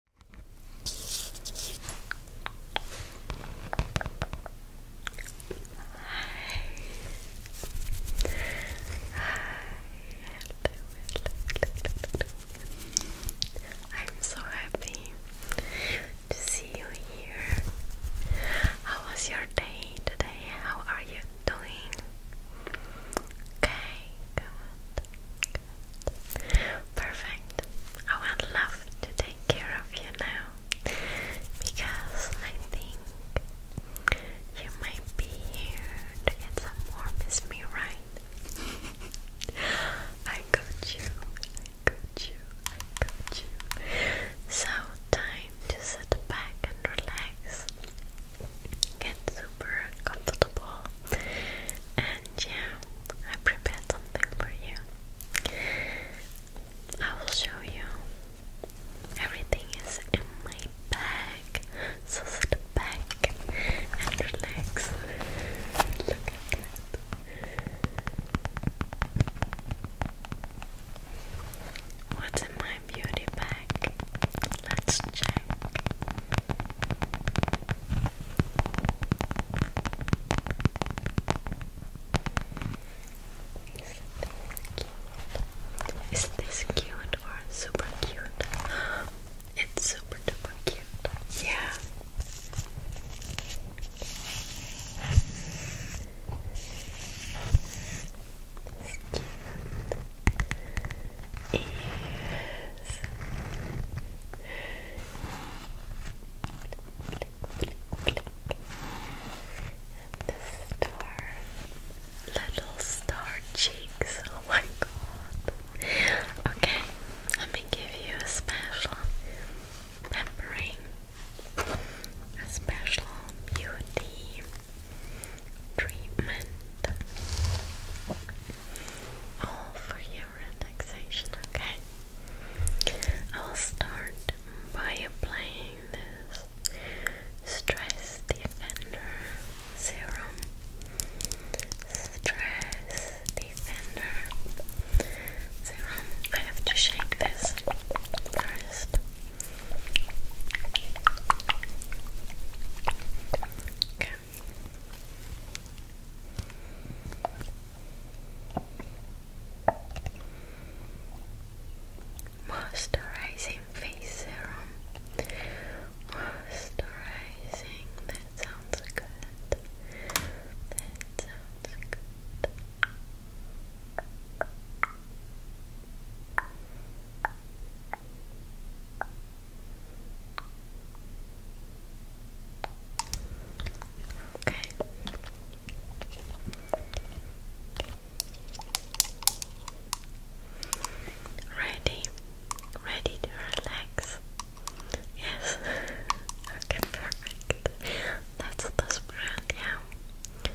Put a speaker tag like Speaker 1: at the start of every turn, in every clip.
Speaker 1: I'm so happy to see you here. How was your day today? How are you doing? Okay, Perfect. I would love to take care of you now because I think you might be here to get some warm. me right? I got you. I got you. I got you. So time to sit back and relax. Get super comfortable and yeah, I prepared something for you. I will show you. Everything is in my bag. So sit back and relax. Look What's in my beauty bag? Let's check. Is this cute or super cute? It's super duper cute. Yeah. cute is little star cheeks. Oh my god. Okay, let me give you a special pampering, a special beauty treatment all oh, for your relaxation, okay? I'll start by applying this Stress Defender Serum. Stress Defender Serum. I have to shake this first. Okay. Moisturizing face serum. Moisturizing, that sounds good. That sounds good. Okay. Ready? Ready to relax? Yes. okay, perfect. That's the brand, yeah.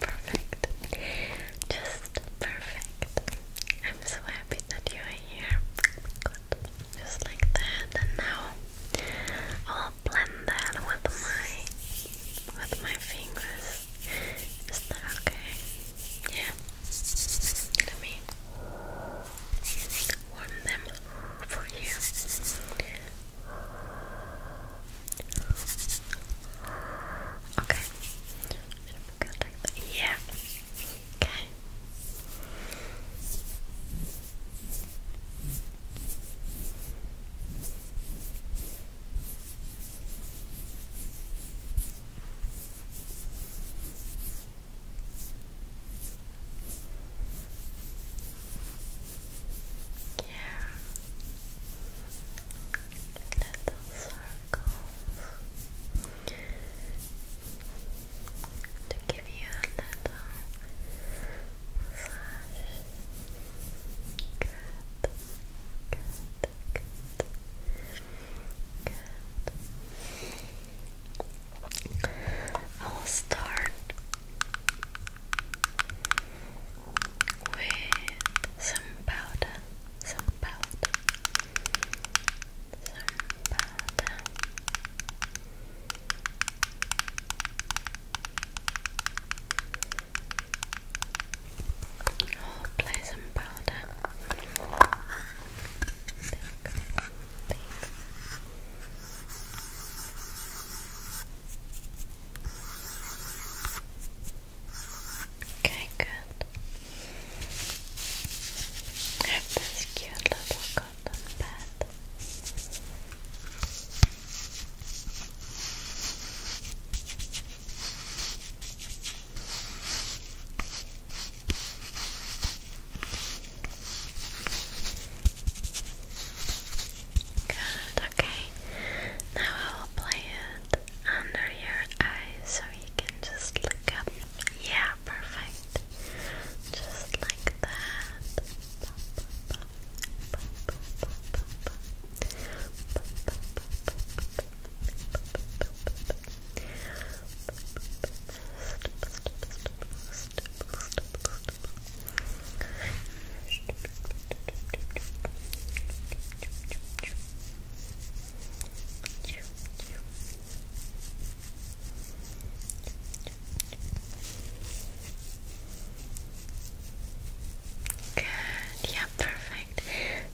Speaker 1: Perfect. Just perfect. I'm so happy that you are here. Just like that. And now I'll blend that with my with my fingers. Is that okay? Yeah. Let me warm them for you. Okay. Yeah. Okay. Yeah. Little circles to give you a little massage. Good. Good. Good. I will start with some powder, some powder, some powder. i play some powder. Так, так. Okay, good. have this cute little cotton pad. Good, okay. Now I will play it under your eyes so you can just look up. Yeah, perfect. Just like that. Good, yeah, perfect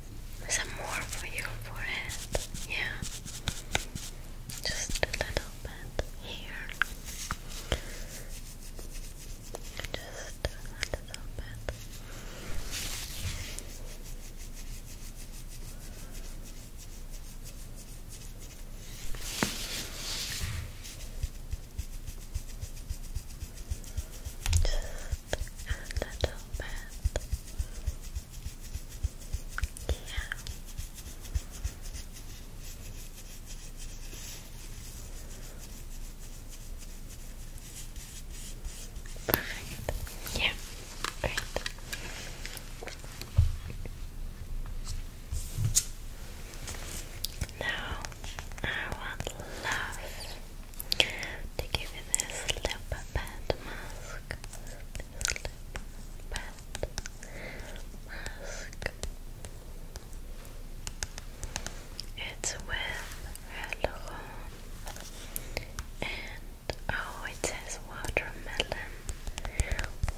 Speaker 1: some more for your forehead. Yeah. Just a little bit here. Just a little bit. Just a little bit. Yeah. Perfect. Yeah. Great. Now I would love to give you this lip pad mask. It's with Hyaluron and oh, it says watermelon.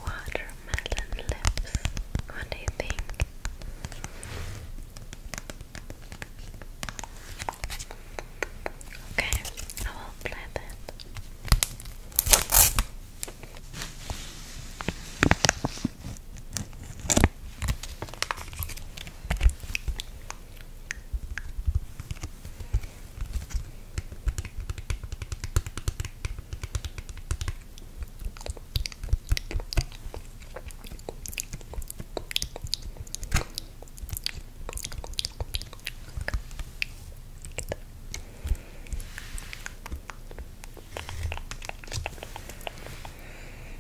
Speaker 1: Watermelon lips. What do you think? Okay, I will play that.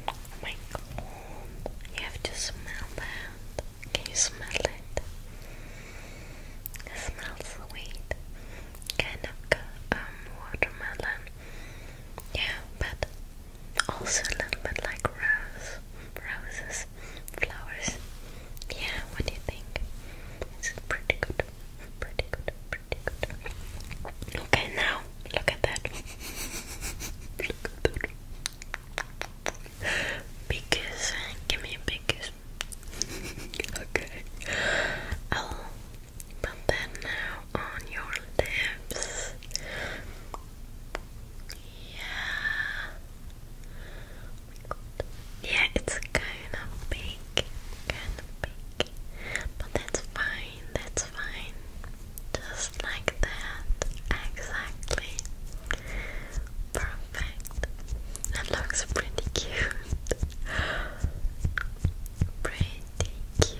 Speaker 1: Oh my god, you have to smell that. Can you smell it? It smells sweet. Kind of um watermelon. Yeah, but also a little bit like roses, flowers. Yeah, what do you think? It's pretty good, pretty good, pretty good. Okay, now look at that. look Give me a big kiss. okay. I'll oh, put that now on your lips. Yeah. Yeah, it's kind of big, kind of big, but that's fine. That's fine. Just like that, exactly. Perfect. That looks pretty cute. Pretty cute.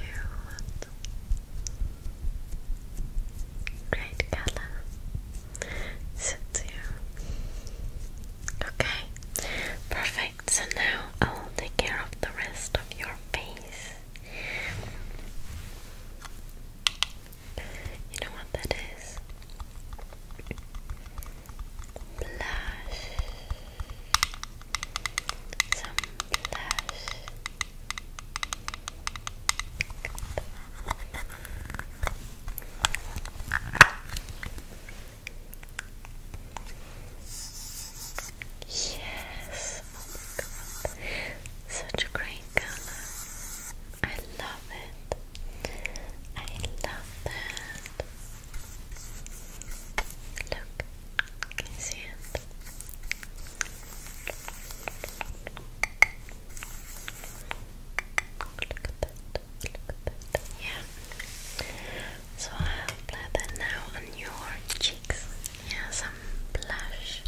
Speaker 1: Great color. Sits here. Okay. Perfect. So now I will take care of the rest of your face. You know what that is? Blush. Some blush. Yes, such a great color. I love it. I love that. Look, Okay. see So I'll apply that now on your cheeks. Yeah, some blush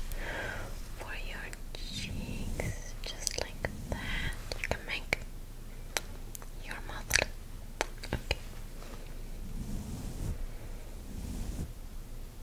Speaker 1: for your cheeks. Just like that. You can make your mouth look okay.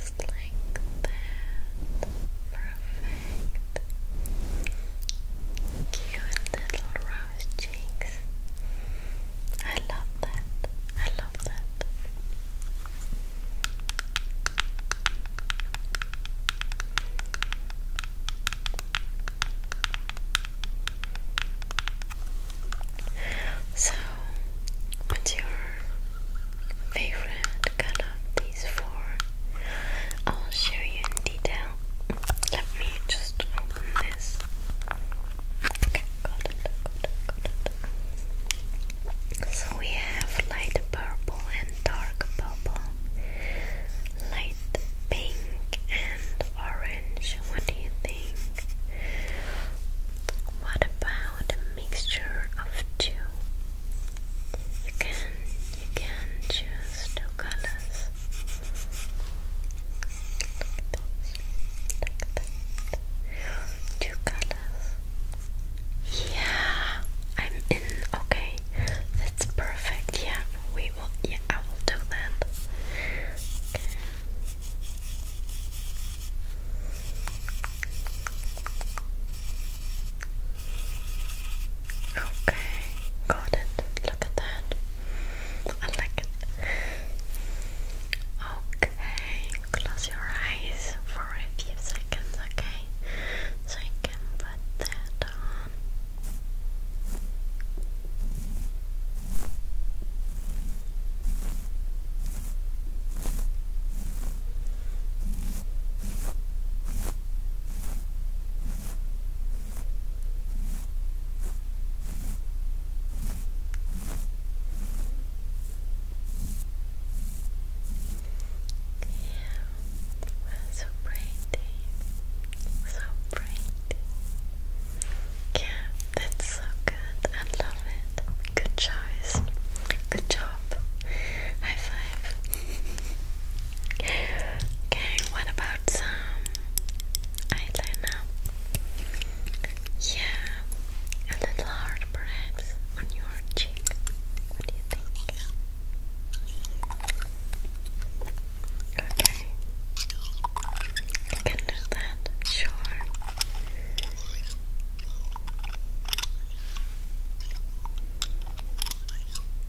Speaker 1: Just like that. Perfect. Cute little rose cheeks. I love that. I love that. So, what's your favorite color of these i I'll show you in detail. Let me just open this. So we have light purple and dark purple, light pink and orange. What do you think? What about a mixture of two? You can you can choose two colors. Two colors. Yeah, I'm in. Okay, that's perfect. Yeah, we will. Yeah, I will do that. Okay, got it. Look at that. I like it. Okay, close your eyes for a few seconds, okay? So I can put that on well, so pretty, so pretty. Yeah, that's so good. I love it. Good choice. Good job. High five. Okay, what about some eyeliner? Yeah, a little hard perhaps on your cheek. What do you think? Okay, you can do that, sure.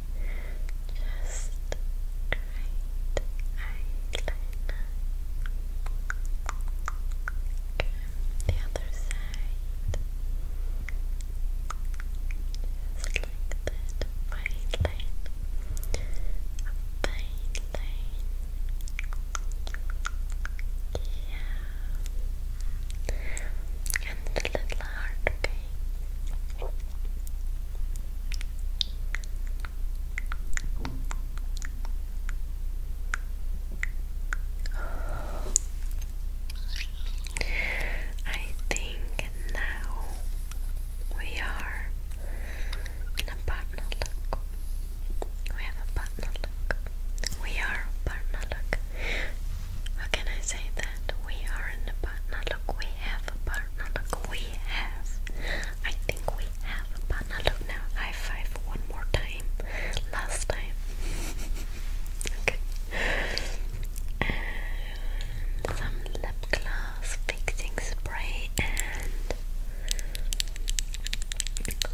Speaker 1: Just great eyeliner. the other side. Just like that. Fine line. A fine Yeah. And a little heart, I think now we are in a partner look. We have a partner look. We are partner look. How can I say that? We are in a partner look. We have a partner Look, we have. I think we have a banana. Look now, high five one more time. Last time. And some lip gloss fixing spray and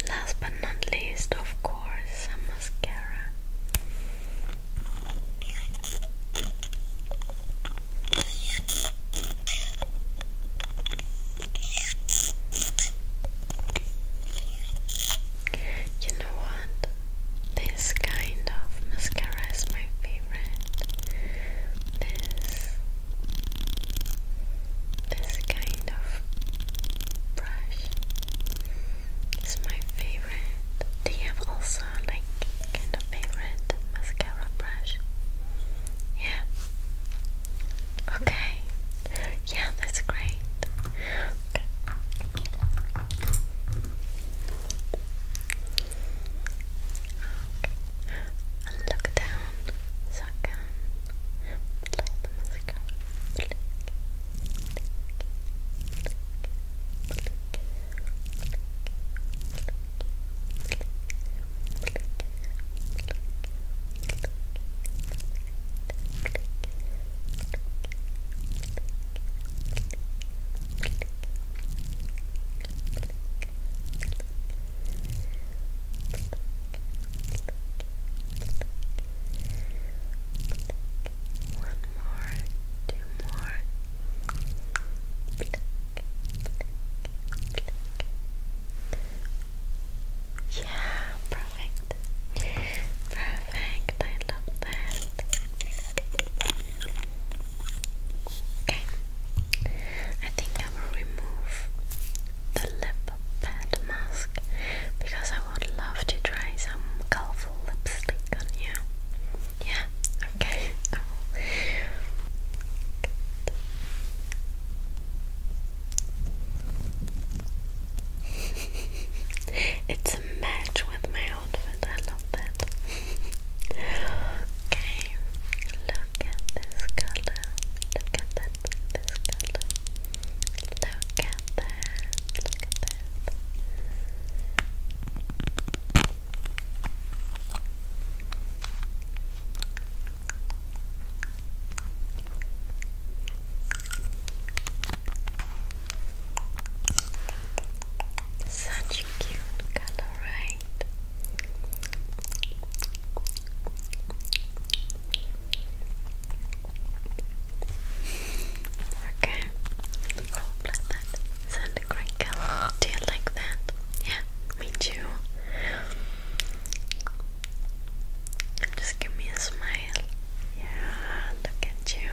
Speaker 1: last but not least, of course, some mascara. You know what? This kind of mascara is my favorite. This this kind of brush is my favorite. They have also also like kind of favorite mascara brush. Yeah. Okay. Yeah, that's great. Okay. look down so I can apply the mascara. One more day yeah, perfect. Perfect. I love that. Okay. I think I will remove the lip pad mask because I would love to try some colorful lipstick on you. Yeah, okay, it's a match with my outfit, I love that. okay, look at this color. Look at that, this color. Look at that, look at that. Such a cute color, right? Okay. Cool, like that. Send a crinkle. Do you like that? Yeah, me too. Just give me a smile. Yeah, look at you.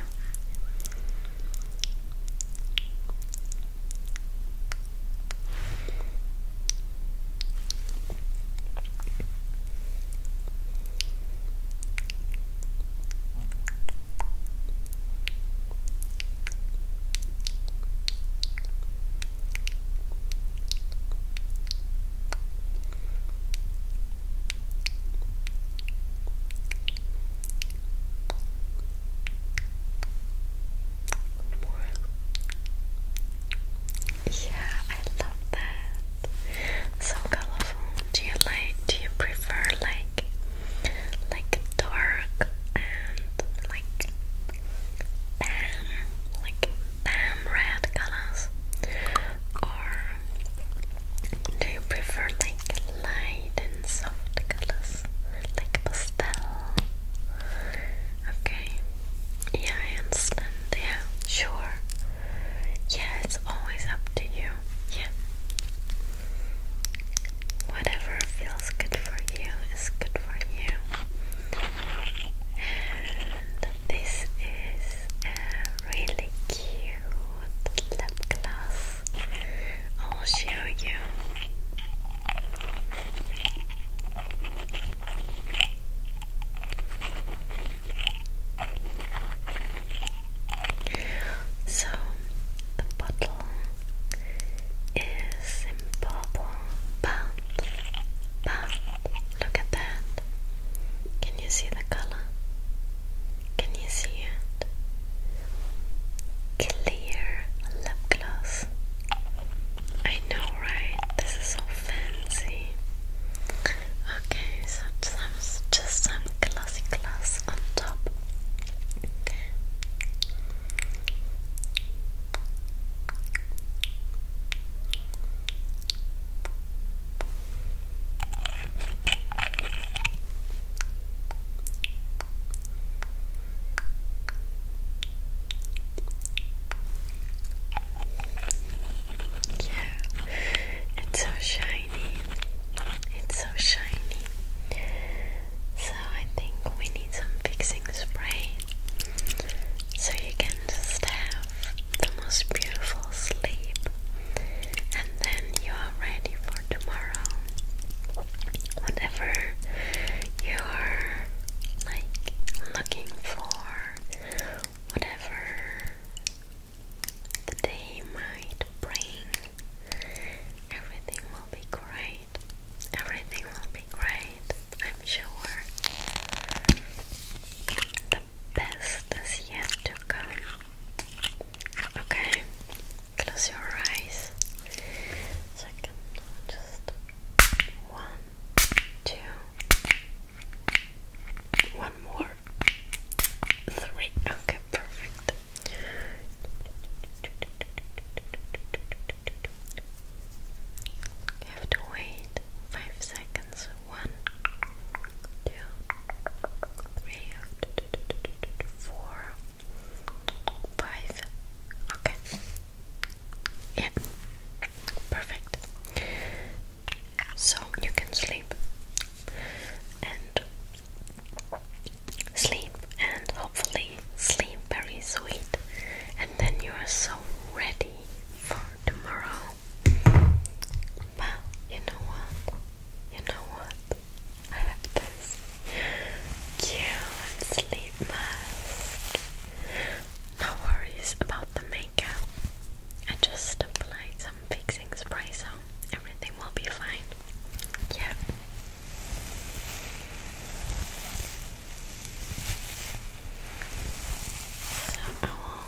Speaker 1: Yeah, I love that. So colorful. Do you like do you prefer like like dark and like bam, like bam red colors, or do you prefer like light and soft colors, like pastel? Okay, yeah, I understand. Yeah, sure. Yeah, it's always up to you. Yeah. Whatever feels good for you is good for you. this is a really cute lip gloss. I'll show you. So the bottle is in purple, but, but look at that. Can you see the color? Can you see it? Clear lip gloss. I know, right? This is so fancy. Okay, so some, just some glossy glass on top. Yeah, it's so shiny. It's so shiny. So I think we need some fixing spray. So you can just have the most beautiful sleep. And then you are ready for tomorrow. Whatever you are like looking for, whatever the day might bring. Everything will be great. Everything will be great, I'm sure. The best is yet to come. Okay, close your eyes. So just one, two, one more three. Okay, perfect. You have to wait five seconds. One, two, three, four, five. Okay. Yeah. Perfect so you can sleep and sleep and hopefully sleep very sweet and then you are so ready for tomorrow but you know what you know what I have this cute sleep mask no worries about the makeup I just applied some fixing spray so everything will be fine. Yeah. So I will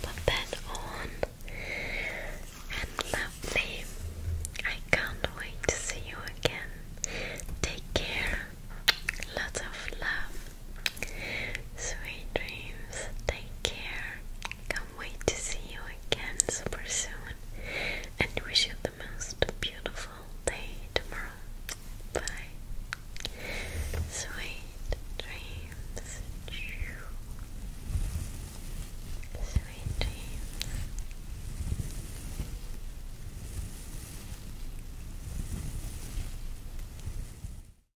Speaker 1: put that on and lovely. I can't wait to see you again. Take care. Lots of love. Sweet dreams, take care. Can't wait to see you again super soon. And wish you the most beautiful day tomorrow. Bye. Sweet dreams. Sweet dreams.